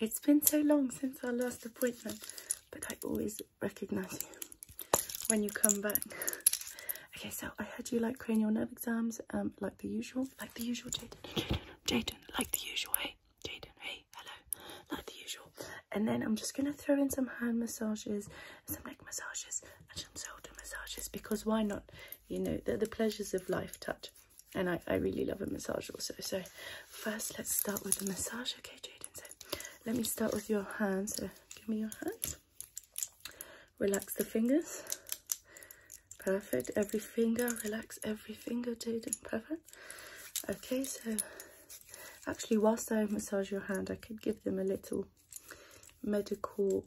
It's been so long since our last appointment, but I always recognise you when you come back. okay, so I had you like cranial nerve exams, um, like the usual, like the usual, Jaden, Jaden, like the usual, hey, Jaden, hey, hello, like the usual. And then I'm just gonna throw in some hand massages, some neck massages, and some shoulder massages because why not? You know, the pleasures of life touch. And I, I really love a massage also. So first let's start with the massage. Okay, Jaden. So let me start with your hands. So give me your hands. Relax the fingers. Perfect. Every finger. Relax every finger, Jaden. Perfect. Okay, so actually whilst I massage your hand, I could give them a little medical,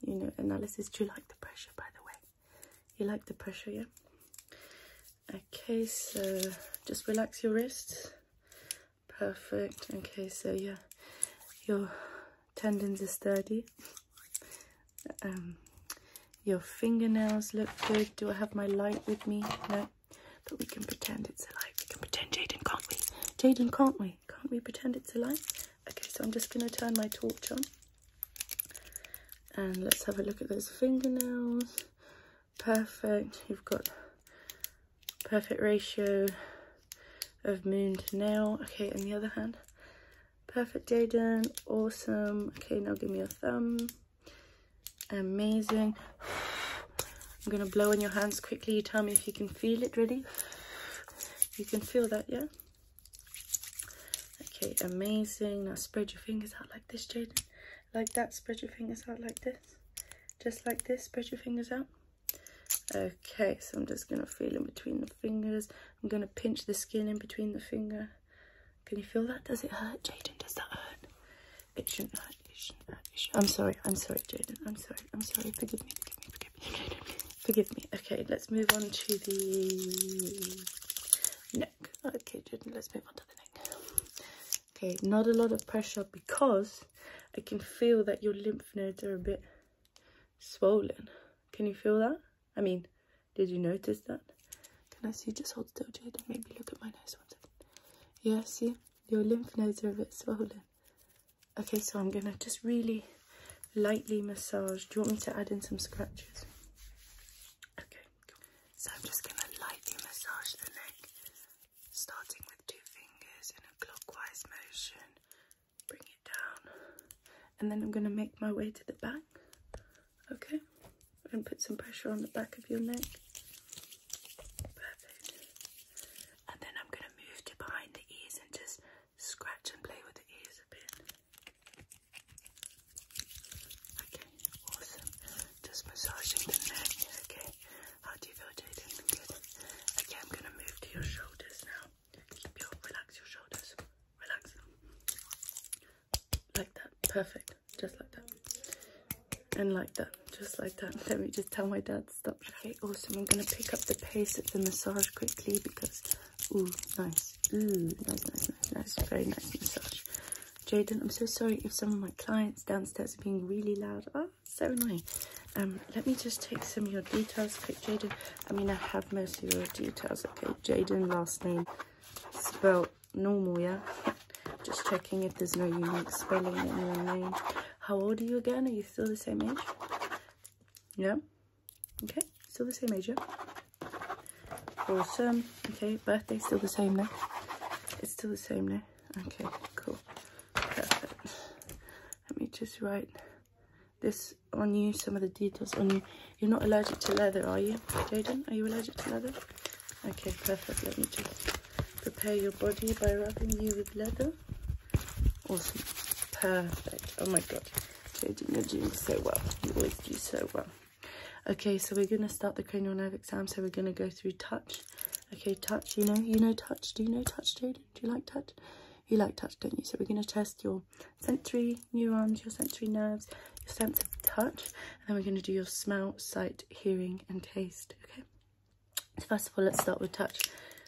you know, analysis. Do you like the pressure, by the way? You like the pressure, yeah? Okay, so just relax your wrists. Perfect. Okay, so yeah, your tendons are sturdy. Um, your fingernails look good. Do I have my light with me? No, but we can pretend it's a light. We can pretend, Jaden, can't we? Jaden, can't we? Can't we pretend it's a light? Okay, so I'm just going to turn my torch on. And let's have a look at those fingernails. Perfect, you've got perfect ratio of moon to nail. Okay, on the other hand, perfect Jaden, awesome. Okay, now give me your thumb. Amazing. I'm gonna blow on your hands quickly. Tell me if you can feel it, ready? You can feel that, yeah? Okay, amazing. Now spread your fingers out like this, Jaden. Like that, spread your fingers out like this. Just like this, spread your fingers out. Okay, so I'm just going to feel in between the fingers. I'm going to pinch the skin in between the finger. Can you feel that? Does it hurt, Jaden? Does that hurt? It shouldn't hurt. It shouldn't hurt. I'm sorry. I'm sorry, Jaden. I'm sorry. I'm sorry. Forgive me. Forgive me. Forgive me forgive me. Okay, let's move on to the neck. Okay, let's move on to the neck. Okay, not a lot of pressure because I can feel that your lymph nodes are a bit swollen. Can you feel that? I mean, did you notice that? Can I see? Just hold still, Jade, maybe look at my nose one second. Yeah, see? Your lymph nodes are a bit swollen. Okay, so I'm going to just really lightly massage. Do you want me to add in some scratches? Okay, So I'm just going to lightly massage the neck, starting with two fingers in a clockwise motion. Bring it down. And then I'm going to make my way to the back. Okay? And put some pressure on the back of your neck. Perfect. And then I'm going to move to behind the ears and just scratch and play with the ears a bit. Okay, awesome. Just massaging the neck, okay? How do you feel, Jaden? Good. Okay, I'm gonna move to your shoulders now. relax your shoulders. Relax. Like that. Perfect. Just like that. And like that. Just like that. Let me just tell my dad stop. Okay, awesome. I'm gonna pick up the pace of the massage quickly because Ooh, nice. Ooh, nice, nice, nice, nice. Very nice massage. Jaden, I'm so sorry if some of my clients downstairs are being really loud. Oh, so annoying. Um, let me just take some of your details quick, Jaden. I mean, I have most of your details. Okay, Jaden, last name, spelled normal, yeah? Just checking if there's no unique spelling in your name. How old are you again? Are you still the same age? No? Okay, still the same major. yeah? Awesome. Okay, birthday still the same now. It's still the same now. Okay, cool. Perfect. Let me just write this on you, some of the details on you. You're not allergic to leather, are you, Jaden? Are you allergic to leather? Okay, perfect. Let me just prepare your body by rubbing you with leather. Awesome. Perfect. Oh my god. Jodie, doing so well. You always do so well. Okay, so we're going to start the cranial nerve exam. So we're going to go through touch. Okay, touch, you know, you know touch. Do you know touch, Do you like touch? You like touch, don't you? So we're going to test your sensory neurons, your sensory nerves, your sense of touch. And then we're going to do your smell, sight, hearing, and taste. Okay. So first of all, let's start with touch.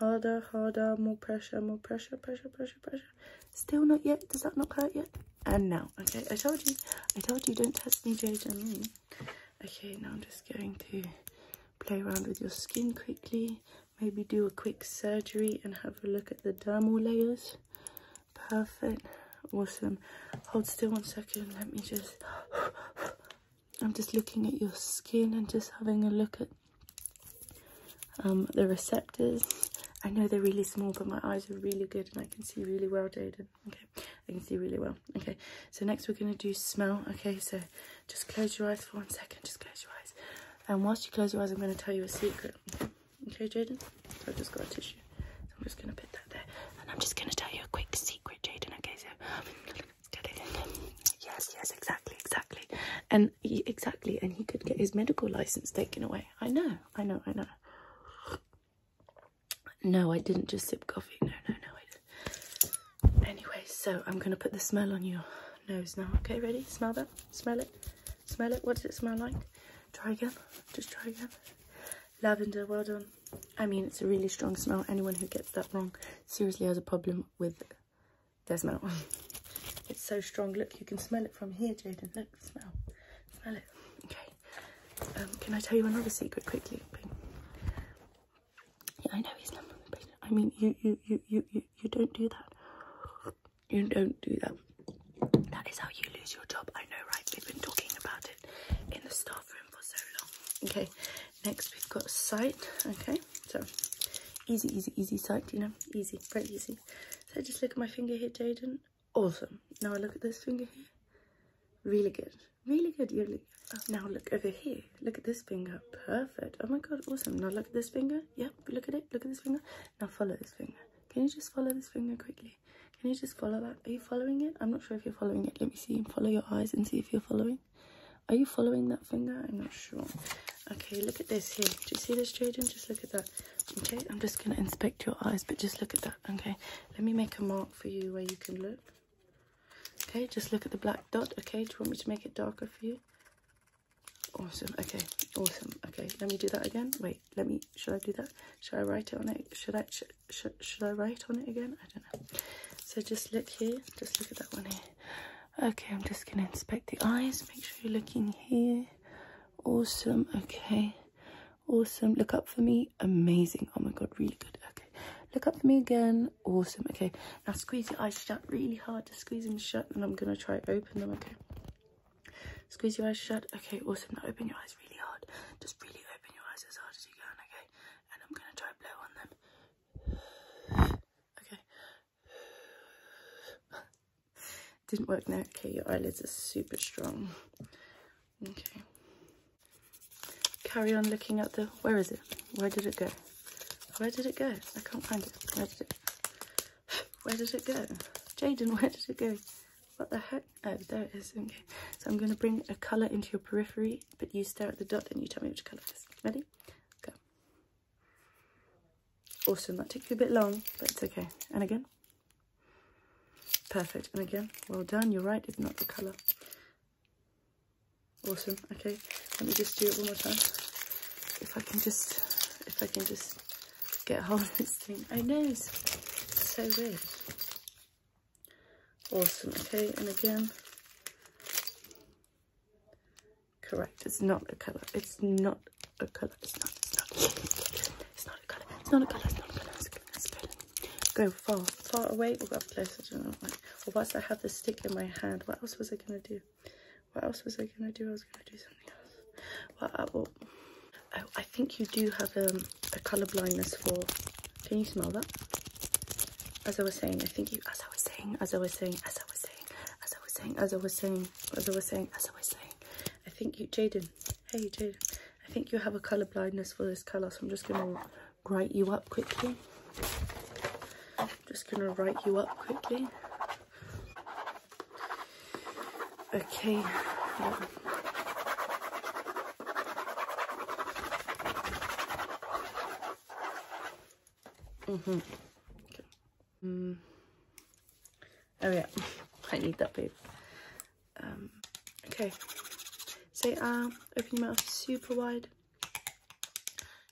Harder, harder, more pressure, more pressure, pressure, pressure, pressure. Still not yet. Does that not cut yet? And now. Okay, I told you. I told you don't test me, Jade and me. Okay, now I'm just going to play around with your skin quickly. Maybe do a quick surgery and have a look at the dermal layers. Perfect. Awesome. Hold still one second. Let me just... I'm just looking at your skin and just having a look at um, the receptors. I know they're really small, but my eyes are really good and I can see really well, Jaden. Okay, I can see really well. Okay, so next we're going to do smell. Okay, so just close your eyes for one second. Just close your eyes. And whilst you close your eyes, I'm going to tell you a secret. Okay, Jaden? I've just got a tissue. So I'm just going to put that there. And I'm just going to tell you a quick secret, Jaden. Okay, so yes, yes, exactly, exactly. And exactly, and he could get his medical license taken away. I know, I know, I know. No, I didn't just sip coffee. No, no, no, I didn't. Anyway, so I'm going to put the smell on your nose now. Okay, ready? Smell that? Smell it? Smell it? What does it smell like? Try again. Just try again. Lavender, well done. I mean, it's a really strong smell. Anyone who gets that wrong seriously has a problem with there's smell. It's so strong. Look, you can smell it from here, Jaden. Look, smell. Smell it. Okay. Um, can I tell you another secret quickly? I know he's not on the I mean, you, you, you, you, you, you don't do that. You don't do that. That is how you lose your job. I know, right? We've been talking about it in the staff room for so long. Okay. Next, we've got sight. Okay, so easy, easy, easy sight, you know, easy, very easy. So just look at my finger here, Jaden. Awesome. Now look at this finger here. Really good. Really good. now look over here. Look at this finger. Perfect. Oh my god, awesome. Now look at this finger. Yep, look at it. Look at this finger. Now follow this finger. Can you just follow this finger quickly? Can you just follow that? Are you following it? I'm not sure if you're following it. Let me see. Follow your eyes and see if you're following. Are you following that finger? I'm not sure. Okay, look at this here. Do you see this, Jaden? Just look at that. Okay, I'm just going to inspect your eyes, but just look at that. Okay, let me make a mark for you where you can look. Okay, just look at the black dot. Okay, do you want me to make it darker for you? Awesome. Okay, awesome. Okay, let me do that again. Wait, let me, should I do that? Should I write it on it? Should I, sh should I write on it again? I so just look here just look at that one here okay i'm just gonna inspect the eyes make sure you're looking here awesome okay awesome look up for me amazing oh my god really good okay look up for me again awesome okay now squeeze your eyes shut really hard to squeeze them shut and i'm gonna try open them okay squeeze your eyes shut okay awesome now open your eyes really hard just really open your eyes as hard as you can okay and i'm gonna try blow on them Okay. Didn't work now. Okay, your eyelids are super strong. Okay. Carry on looking at the, where is it? Where did it go? Where did it go? I can't find it. Where did it, where did it go? Jaden, where did it go? What the heck? Oh, there it is. Okay. So I'm going to bring a colour into your periphery but you stare at the dot and you tell me which colour it is. Ready? Go. Awesome. That took you a bit long, but it's okay. And again. Perfect. And again. Well done. You're right. It's not the colour. Awesome. Okay. Let me just do it one more time. If I can just, if I can just get hold of this thing. I oh, know. It's so weird. Awesome, okay, and again, correct, it's not a colour, it's not a colour, it's not, it's not, it's not a colour, it's not a colour, it's not a colour, it's good, it's good. Go far, far away, we'll go closer, I don't know why. Or whilst I have the stick in my hand, what else was I going to do? What else was I going to do? I was going to do something else. Well, I, will, I, I think you do have um, a colour blindness for can you smell that? As I was saying, I think you, as I was saying, as I was saying, as I was saying, as I was saying, as I was saying, as I was saying, as I was saying, I think you, Jaden, hey Jaden, I think you have a colour blindness for this colour, so I'm just going to write you up quickly. I'm just going to write you up quickly. Okay, let Mm-hmm. Okay. Hmm. Oh yeah, I need that babe. Um, okay. Say so, uh, open your mouth super wide.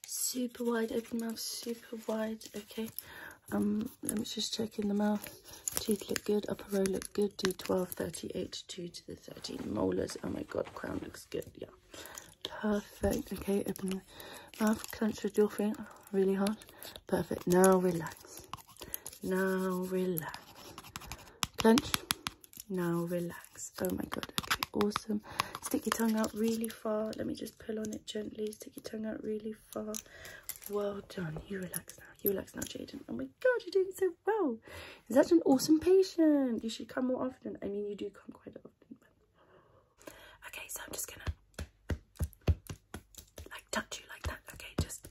Super wide, open mouth super wide. Okay. Um, let me just check in the mouth. Teeth look good, upper row look good d12 38 to the 13 molars oh my god crown looks good yeah perfect okay open mouth clench with your finger really hard perfect now relax now relax clench now relax oh my god okay awesome stick your tongue out really far let me just pull on it gently stick your tongue out really far well done you relax now you relax now jaden oh my my god, you're doing so well. You're such an awesome patient. You should come more often. I mean, you do come quite often. But... Okay, so I'm just gonna like touch you like that. Okay, just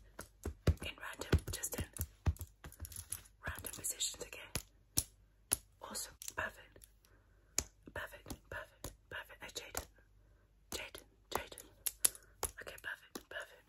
in random, just in random positions. Okay, awesome, perfect, perfect, perfect, perfect. Oh, Jaden, Jaden, Jaden. Okay, perfect, perfect.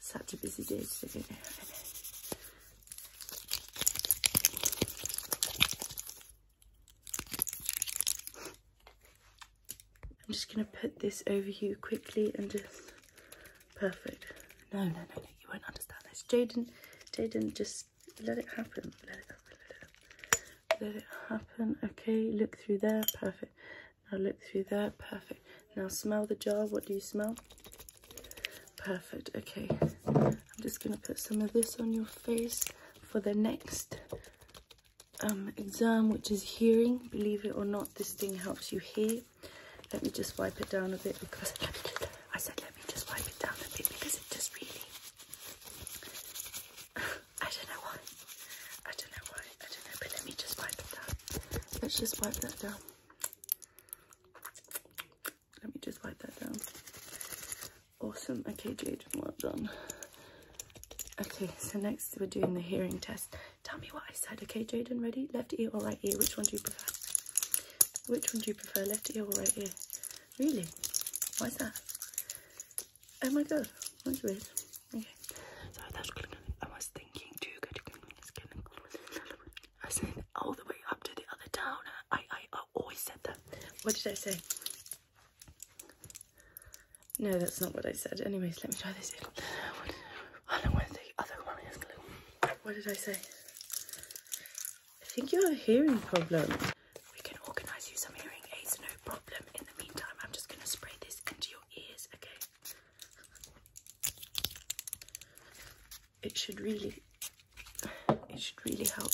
Such a busy day today, I am just going to put this over here quickly and just... Perfect. No, no, no, no, you won't understand this. Jaden, Jaden, just Let it happen, let it happen. Let it happen. Okay, look through there. Perfect. Now look through there, perfect. Now smell the jar, what do you smell? Perfect, okay. I'm just gonna put some of this on your face for the next um, exam, which is hearing. Believe it or not, this thing helps you hear. Let me just wipe it down a bit because I said let me just wipe it down a bit because it just really I don't know why. I don't know why. I don't know. But let me just wipe it down. Let's just wipe that down. Let me just wipe that down. Awesome. Okay, Jade, well done. Okay, so next we're doing the hearing test. Tell me what I said, okay, Jaden? Ready? Left ear or right ear? Which one do you prefer? Which one do you prefer, left ear or right ear? Really? Why that? Oh my god, that's weird. Okay, so that's good. I was thinking too good. I said all the way up to the other town. I, I, I always said that. What did I say? No, that's not what I said. Anyways, let me try this in. I don't want to say other one is glue. What did I say? I think you have a hearing problem. We can organise you some hearing aids, no problem. In the meantime, I'm just going to spray this into your okay? It should really, it should really help.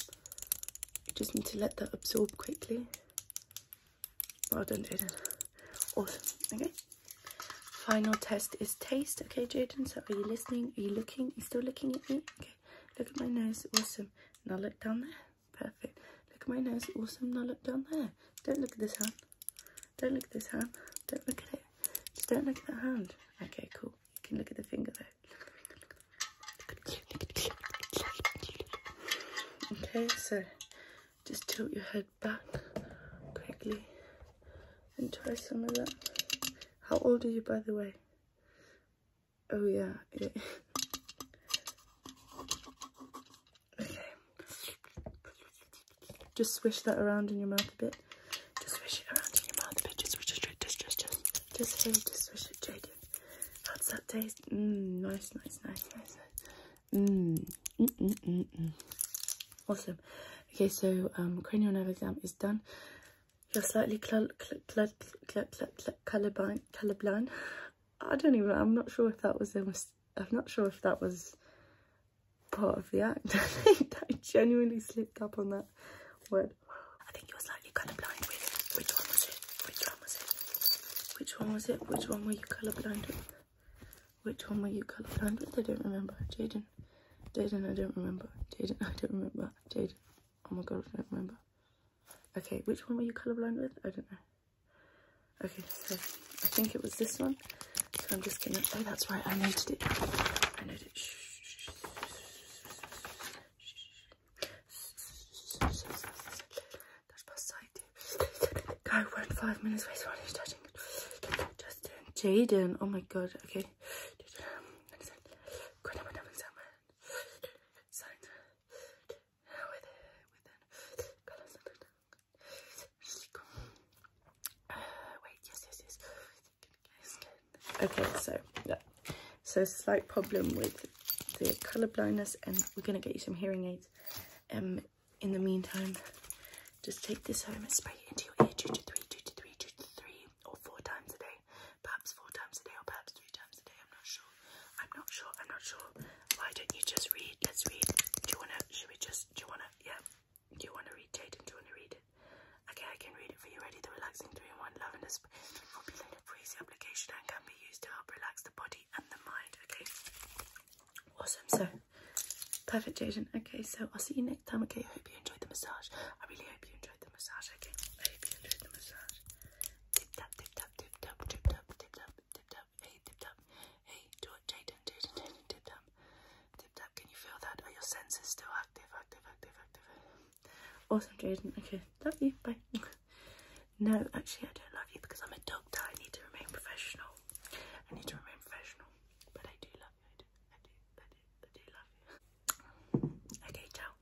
You just need to let that absorb quickly. Well done, Jaden. Awesome, okay? Final test is taste, okay, Jordan. So are you listening? Are you looking? Are you still looking at me? Okay, look at my nose, awesome. Now look down there. Perfect. Look at my nose. Awesome. Now look down there. Don't look at this hand. Don't look at this hand. Don't look at it. Just don't look at that hand. Okay, cool. You can look at the finger though. Okay, so just tilt your head back quickly and try some of that. How old are you, by the way? Oh, yeah. yeah. Just swish that around in your mouth a bit. Just swish it around in your mouth a bit. Just swish it straight. Just, just, just. Just here, just swish it straight in. How's that taste? Mmm, nice, nice, nice, nice, nice. Mmm, mm, mm, mm, mm. Awesome. Okay, so um, cranial nerve exam is done. You're slightly colorblind. I don't even, I'm not sure if that was, I'm not sure if that was part of the act. I think I genuinely slipped up on that word. I think you were slightly colourblind with, which one was it? Which one was it? Which one was it? Which one were you colour blind with? Which one were you colour blind with? I don't remember. Jaden. Jaden, I don't remember. Jaden, I don't remember. Jaden. Oh my god, I don't remember. Okay, which one were you colour blind with? I don't know. Okay, so I think it was this one. So I'm just gonna, oh, that's right, I noted it. I noted it. Shh. Go, we're in five minutes. Wait, what are you touching? Justin, Jaden. Oh my god, okay. Jaden, um, Sign. Okay, so yeah. So slight problem with the colour blindness and we're gonna get you some hearing aids. Um in the meantime, just take this home and spray it into your ear two to three, two to three, two to three, or four times a day perhaps four times a day or perhaps three times a day. I'm not sure. I'm not sure. I'm not sure. Why don't you just read? Let's read. Do you wanna? Should we just? Do you wanna? Yeah. Do you wanna read Jayden? Do you wanna read it? Okay, I can read it for you. Ready? The relaxing three-in-one lavender spray freeze application and can be used to help relax the body and the mind. Okay. Awesome. So. Perfect, Jayden. Okay, so I'll see you next time. Okay, I hope you enjoyed the massage. I really hope you enjoyed the massage. Okay, I hope you enjoyed the massage. Tip tap, tip tap, tip tap, tip tap, tip tap, tip tap. Hey, tip tap. Hey, do it, Jaden, Jaden, Jaden, tip tap. Tip tap, can you feel that? Are your senses still active, active, active, active? Awesome, Jaden. Okay, love you. Bye. no, actually, I don't love you because I'm a doctor. I need to remain professional. I need to remain professional, but I do love you. I do, I do, I do, I do love you. Okay, ciao.